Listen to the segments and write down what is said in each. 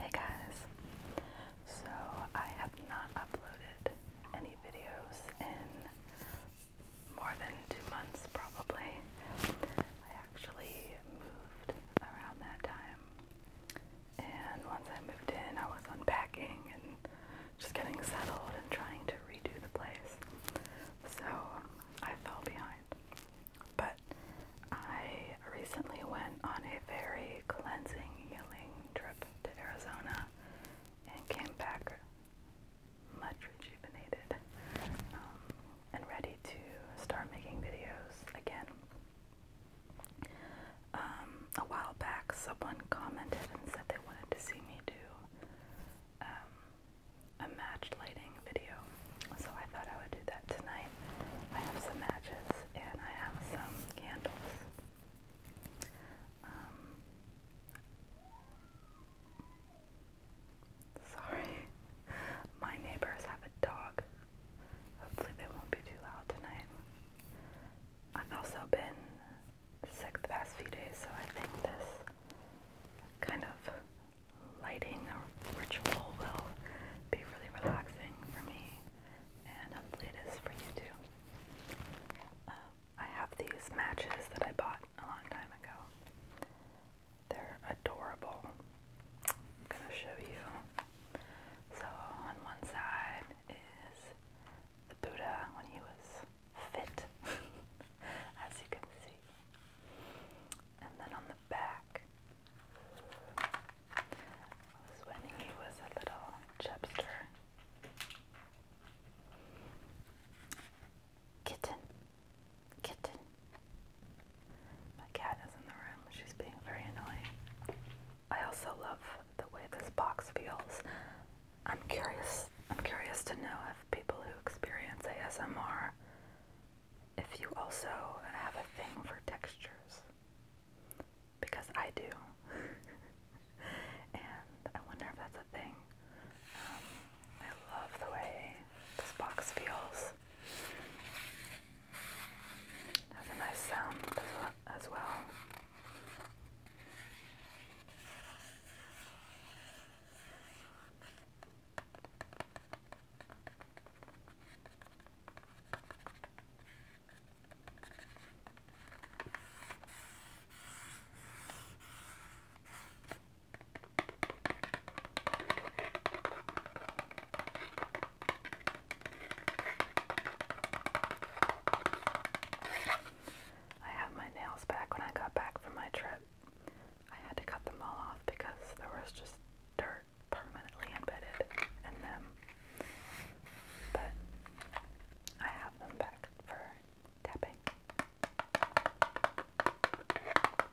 Hey guys, so I have not uploaded any videos in more than two months probably actually moved around that time. And once I moved in, I was unpacking and just getting settled and trying to redo the place. So I fell behind. But I recently went on a very cleansing, healing trip to Arizona and came back much rejuvenated. Um, and ready to start making videos again. Um, a while back, someone commented and said they wanted to see me do um, a match lighting video, so I thought I would do that tonight. I have some matches and I have some candles. Um, Sorry. My neighbors have a dog. Hopefully they won't be too loud tonight. I've also been sick the past few days, so I think this kind of lighting ritual will be really relaxing for me, and hopefully it is for you too. Um, I have these matches that I bought a long time ago. They're adorable. I'm gonna show you. So on one side is the Buddha when he was fit, as you can see. And then on the back was when he was a little chubster. Kitten. Kitten. My cat is in the room. She's being very annoying. I also love the way this box feels. I'm curious. I'm curious to know if people who experience ASMR, if you also have a thing for textures. Because I do. and I wonder if that's a thing. Um, I love the way this box feels. has a nice sound as well. I have my nails back when I got back from my trip. I had to cut them all off because there was just dirt permanently embedded in them. But I have them back for tapping.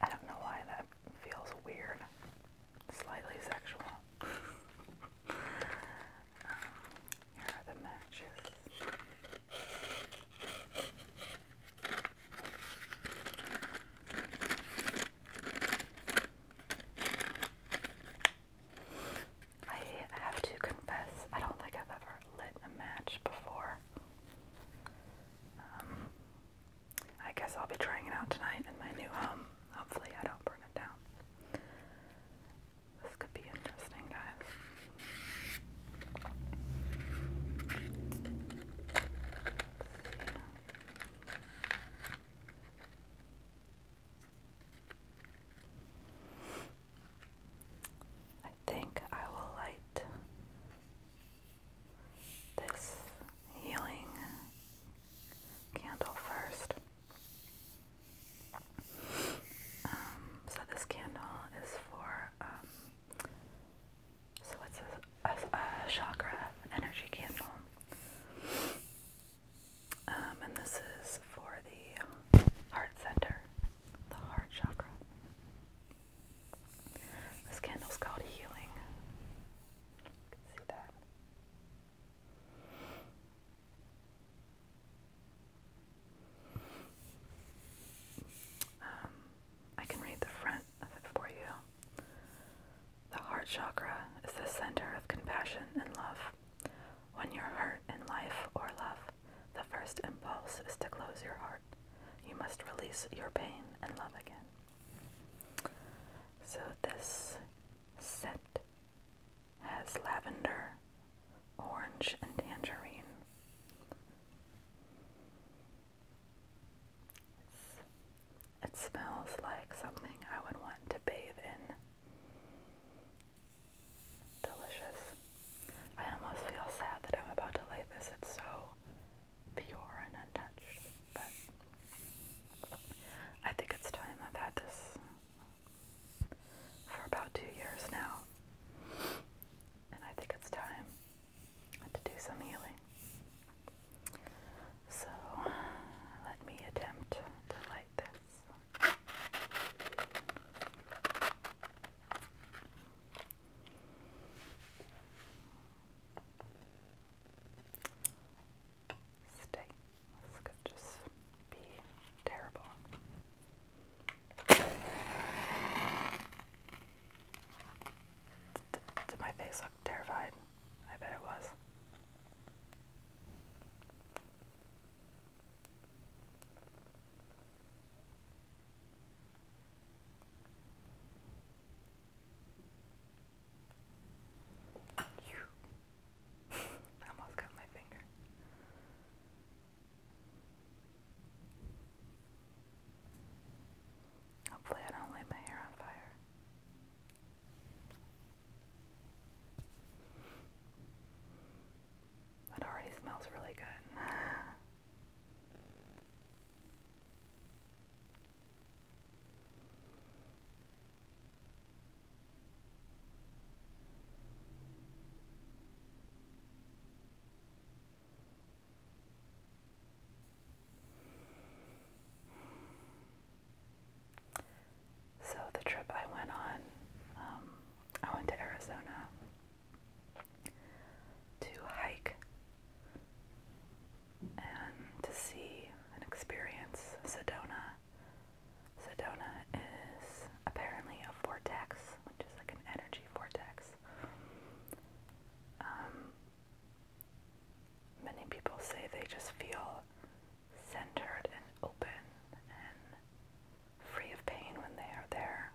I don't know why that feels weird. Slightly sexual. um, the matches. I have to confess, I don't think I've ever lit a match before. Um, I guess I'll be trying it out tonight in my new home. Hopefully, I don't burn it down. This could be interesting, guys. I think I will light this healing candle first. Um, so this candle is for um, so it's a, chakra energy candle. Um, and this is for the heart center, the heart chakra. This candle is called Healing. Um, I can read the front of it for you. The heart chakra is the center of compassion and love. When you're hurt in life or love, the first impulse is to close your heart. You must release your pain and love again. So, this scent has lavender, orange, and tangerine. it smells like something I would want to bathe in. Delicious. I almost feel sad that I'm about to light this. It's so pure and untouched. But I think it's time. I've had this for about two years now. And I think it's time to do some healing. So let me attempt to light this. Steak. This could just be terrible. Did my face look terrified? I bet it was. I almost got my finger. Hopefully, I don't light my hair on fire. That already smells really good. So the trip I went on, um, I went to Arizona to hike and to see and experience Sedona. Sedona is apparently a vortex, which is like an energy vortex. Um, many people say they just feel centered and open and free of pain when they are there.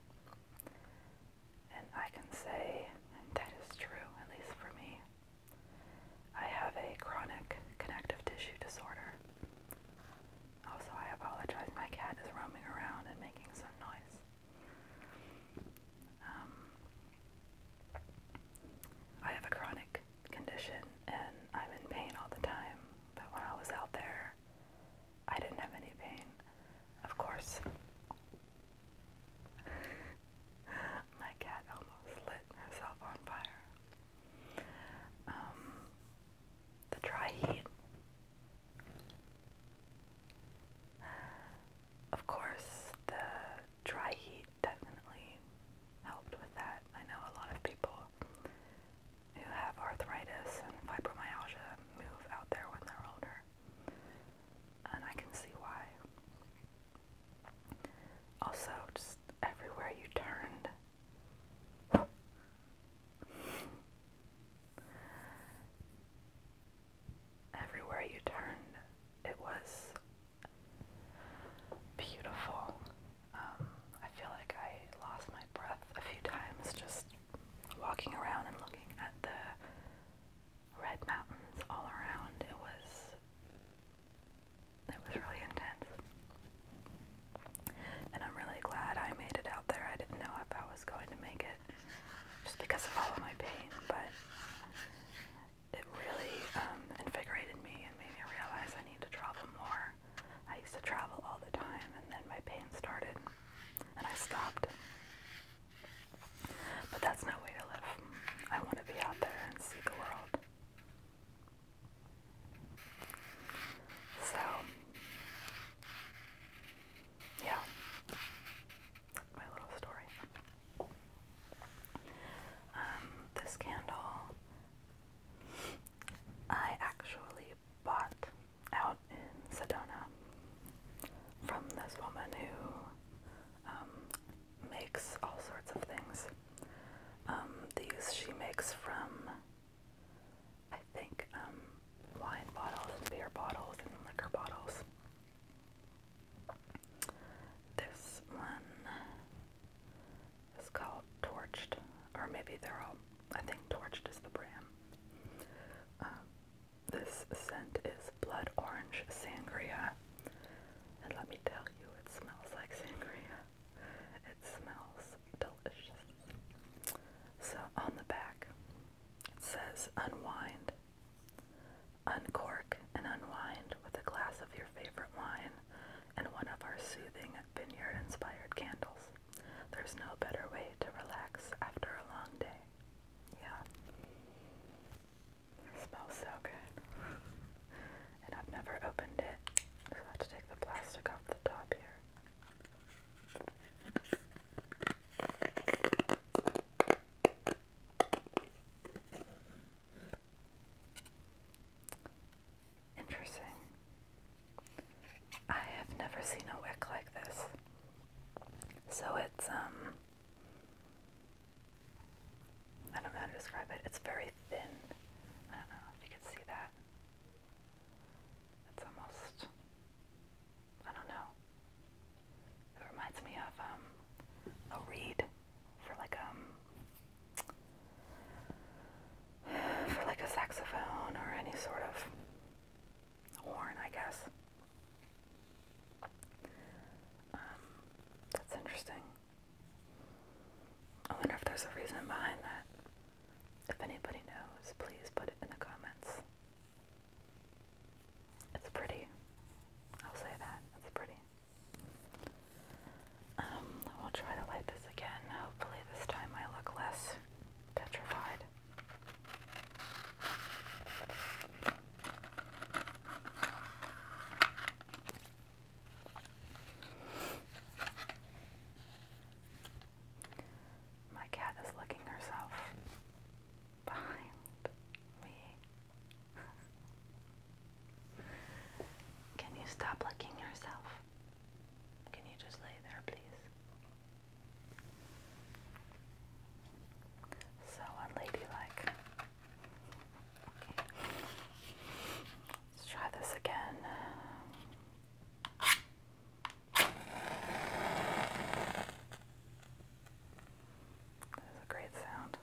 And I can say that is true, at least for me. I have a chronic connective tissue disorder. Also, I apologize, my cat is roaming around and making some noise. Um, I have a chronic condition and I'm in pain all the time, but when I was out there, I didn't have any pain. Of course. My cat almost lit herself on fire. Um, the dry heat. Of course, the dry heat definitely helped with that. I know a lot of people who have arthritis and fibromyalgia move out there when they're older and I can see why. Also, just everywhere you turned. everywhere you turned, it was beautiful. Um, I feel like I lost my breath a few times just walking around and looking at the red mountains all around. It was it was really intense. And I'm really glad I made it out there. I didn't know if I was going to make it just because of all of my pain, but it really um, invigorated me and made me realize I need to travel more. I used to travel all the time, and then my pain started, and I stopped. But that's no way to live. I want to be out there and see the world. So, yeah, my little story. Um, this candle I actually bought out in Sedona from this woman who um, makes all sorts of things. Um, these she makes from, I think, um, wine bottles and beer bottles and liquor bottles. This one is called Torched, or maybe they're all, I think Torched is the brand. Um, this scent is blood orange sangria. And let me tell you, it smells like sangria. It smells delicious. So on the back, it says unwind. Uncork and unwind with a glass of your favorite wine and one of our soothing vineyard inspired candles. There's no better way to relax after a long day. Yeah. smells so good. and I've never opened it, so I have to take the plastic off the top here. Interesting. I have never seen a wick like this. So it's um I don't know how to describe it. It's very thin. I don't know if you can see that. It's almost, I don't know. It reminds me of um, a reed for like um, for like a saxophone or any sort of horn, I guess. Um, that's interesting. I wonder if there's a reason behind that. If anybody knows, please put it in the comments. It's pretty. I'll say that. It's pretty. Um, I'll try to light this again. Hopefully, this time I look less petrified. My cat is licking herself behind me. Can you stop licking yourself? Can you just lay there, please? So unladylike. Let's try this again. That is a great sound.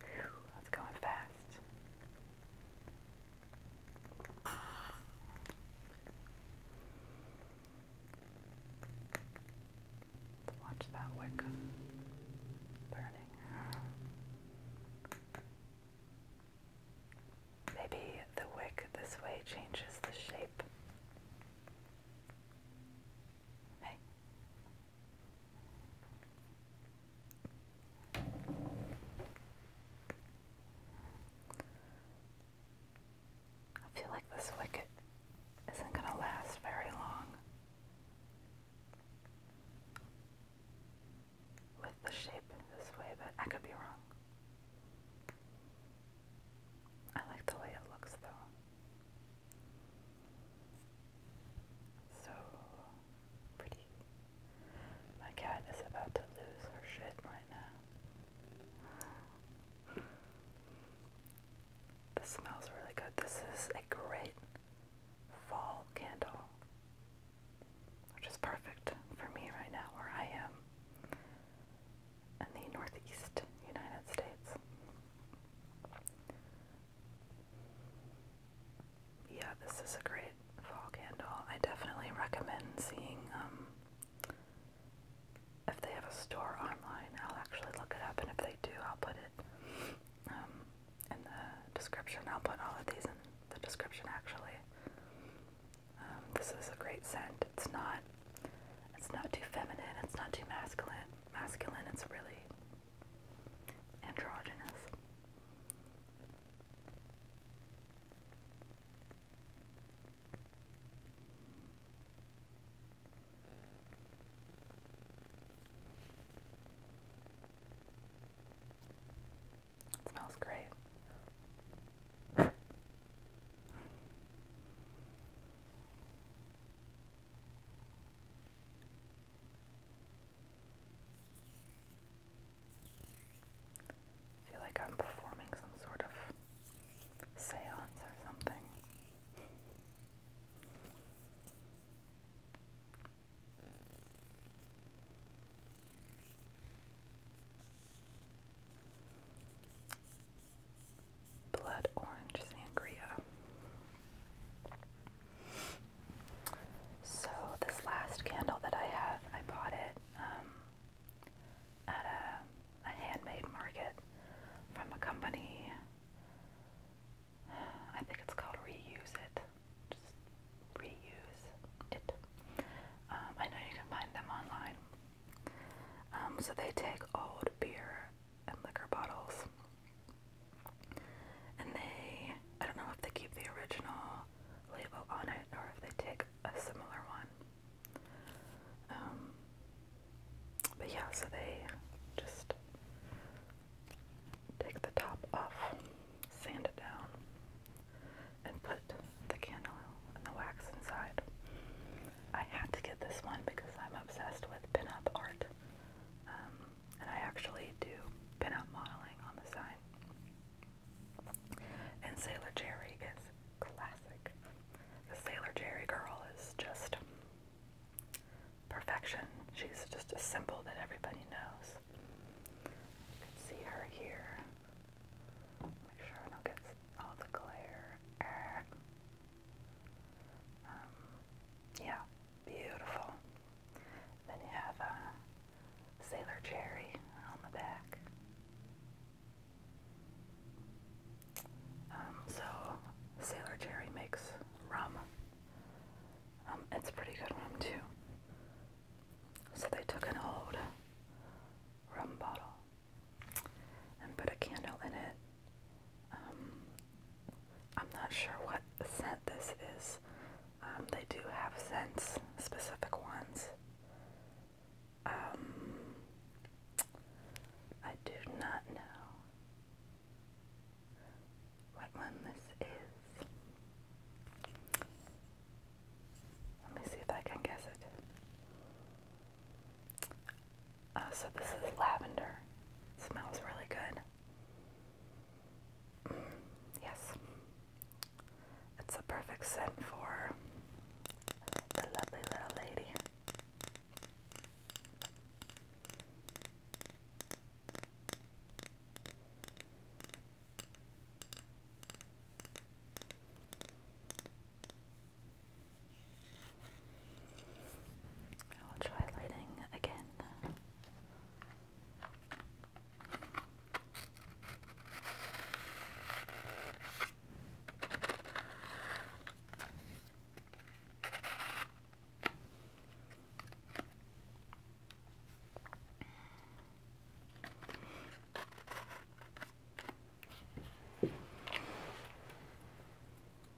Whew, that's going fast. Watch that wick burning. Maybe the wick this way changes the shape. I feel like this wicket isn't going to last very long. With the shape this way, but I could be wrong. I like the way it looks though. So pretty. My cat is about to lose her shit right now. This smells really good. This is a great fall candle, which is perfect for me right now where I am in the Northeast United States. Yeah, this is a great fall candle. I definitely recommend seeing um, if they have a store online. I'll actually look it up, and if they do, I'll put it um, in the description. I'll put all of these in the description actually. Um, this is a great scent. It's not it's not too feminine, it's not too masculine masculine, it's really androgynous. smells great. I feel like I'm performing some sort of seance or something blood orange sangria. So this last candle that I have, I bought it um, at a, handmade market from a company. I think it's called Reuse It. Just reuse it. Um, I know you can find them online. Um, so they take old beer and liquor bottles. And they, I don't know if they keep the original label on it or if they take a similar one. Um, but yeah, so they just take the top off, sand it down, and put the candle and the wax inside. I had to get this one because I'm obsessed with pinup art. Um, and I actually do pinup modeling on the side. And Sailor Jerry is classic. The Sailor Jerry girl is just perfection. She's just a symbol that everybody knows. You can see her here. Make sure I don't get all the glare. Ah. Um, yeah, beautiful. Then you have Sailor Cherry on the back. Um, so, Sailor Cherry makes rum. Um, it's pretty good rum, too. So, they took an old rum bottle and put a candle in it. Um, I'm not sure what scent this is. Um, they do have scents, specific ones. Um, I do not know what one this is. Let me see if I can guess it. Uh, so this is lavender. smells really good. yes. It's a perfect scent for the lovely little lady. I'll try lighting again.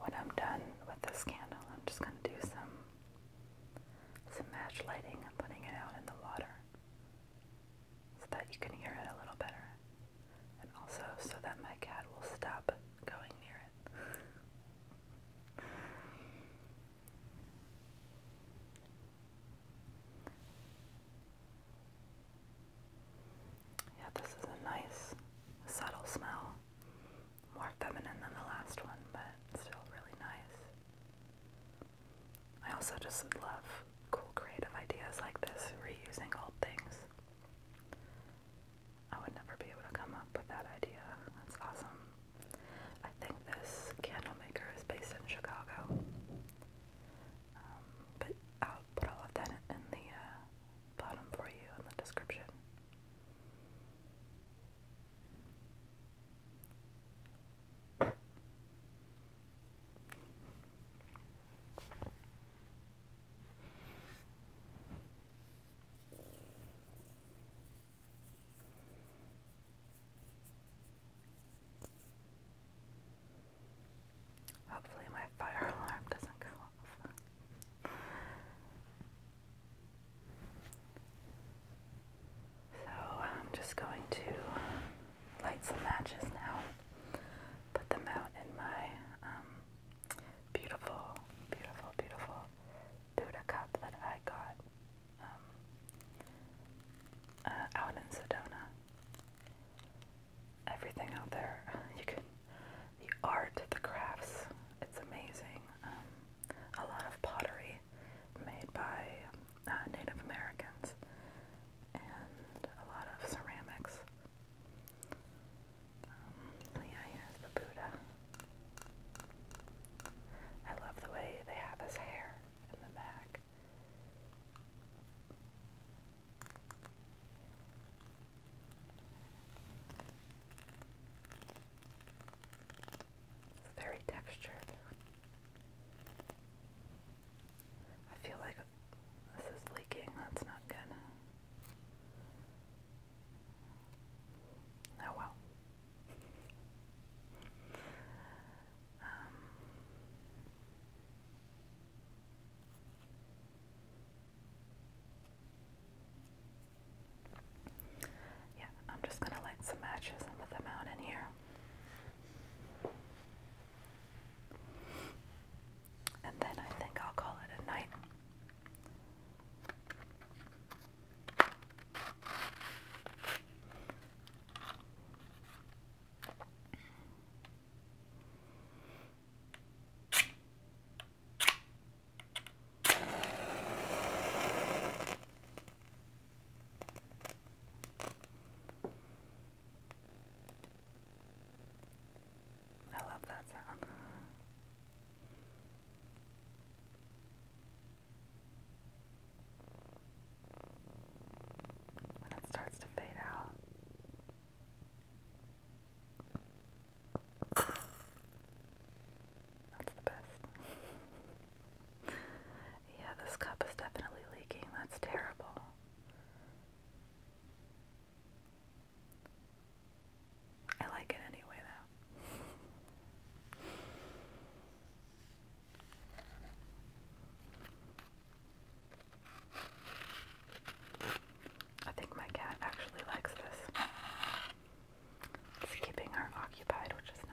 When I'm done with this candle, I'm just going to do some some match lighting and putting it out in the water so that you can hear it a little better. And also so that my cat will stop going near it. Yeah, this is a nice, subtle smell. More feminine than the last one, but still really nice. I also just love cool creative ideas like this, reusing old things. I would never be able to come up with that idea. That's awesome. I think this candle maker is based in Chicago. Um, but oh, put all of that in the uh, bottom for you in the description. Hopefully, my fire alarm doesn't go off. So, I'm just going to light some matches now, put them out in my um, beautiful, beautiful, beautiful Buddha cup that I got um, uh, out in Sedona everything out there. You can the art, the crafts. It's amazing. Um, a lot of pottery made by uh, Native Americans and a lot of ceramics. Um, yeah, here's the Buddha. I love the way they have his hair in the back back. very textured. I feel like this is leaking. That's not good. Oh well. Um, yeah, I'm just going to light some matches and put them out in here. And then I think I'll call it a night. I love that sound. When it starts to fade out, that's the best. yeah, this cup is definitely leaking. That's terrible. I like it anyway, though. I think my cat actually likes this. It's keeping her occupied, which is nice.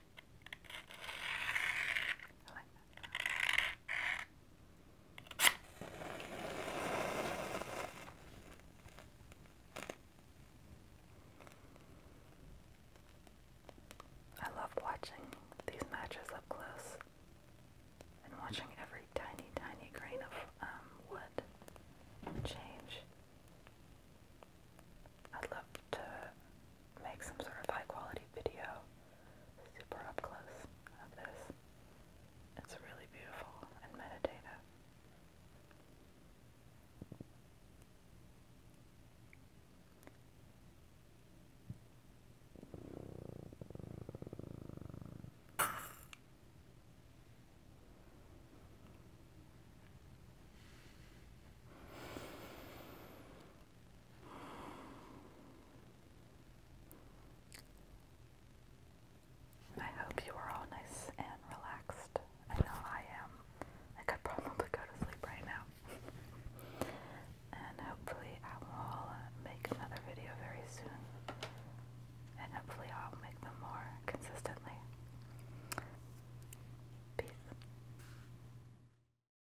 I love watching these matches up close and watching every tiny, tiny grain of um, wood change. I'd love to make some sort of high quality video super up close of this. It's really beautiful and meditative. I hope you are all nice and relaxed. I know I am. I could probably go to sleep right now. and hopefully, I will make another video very soon. And hopefully, I'll make them more consistently. Peace.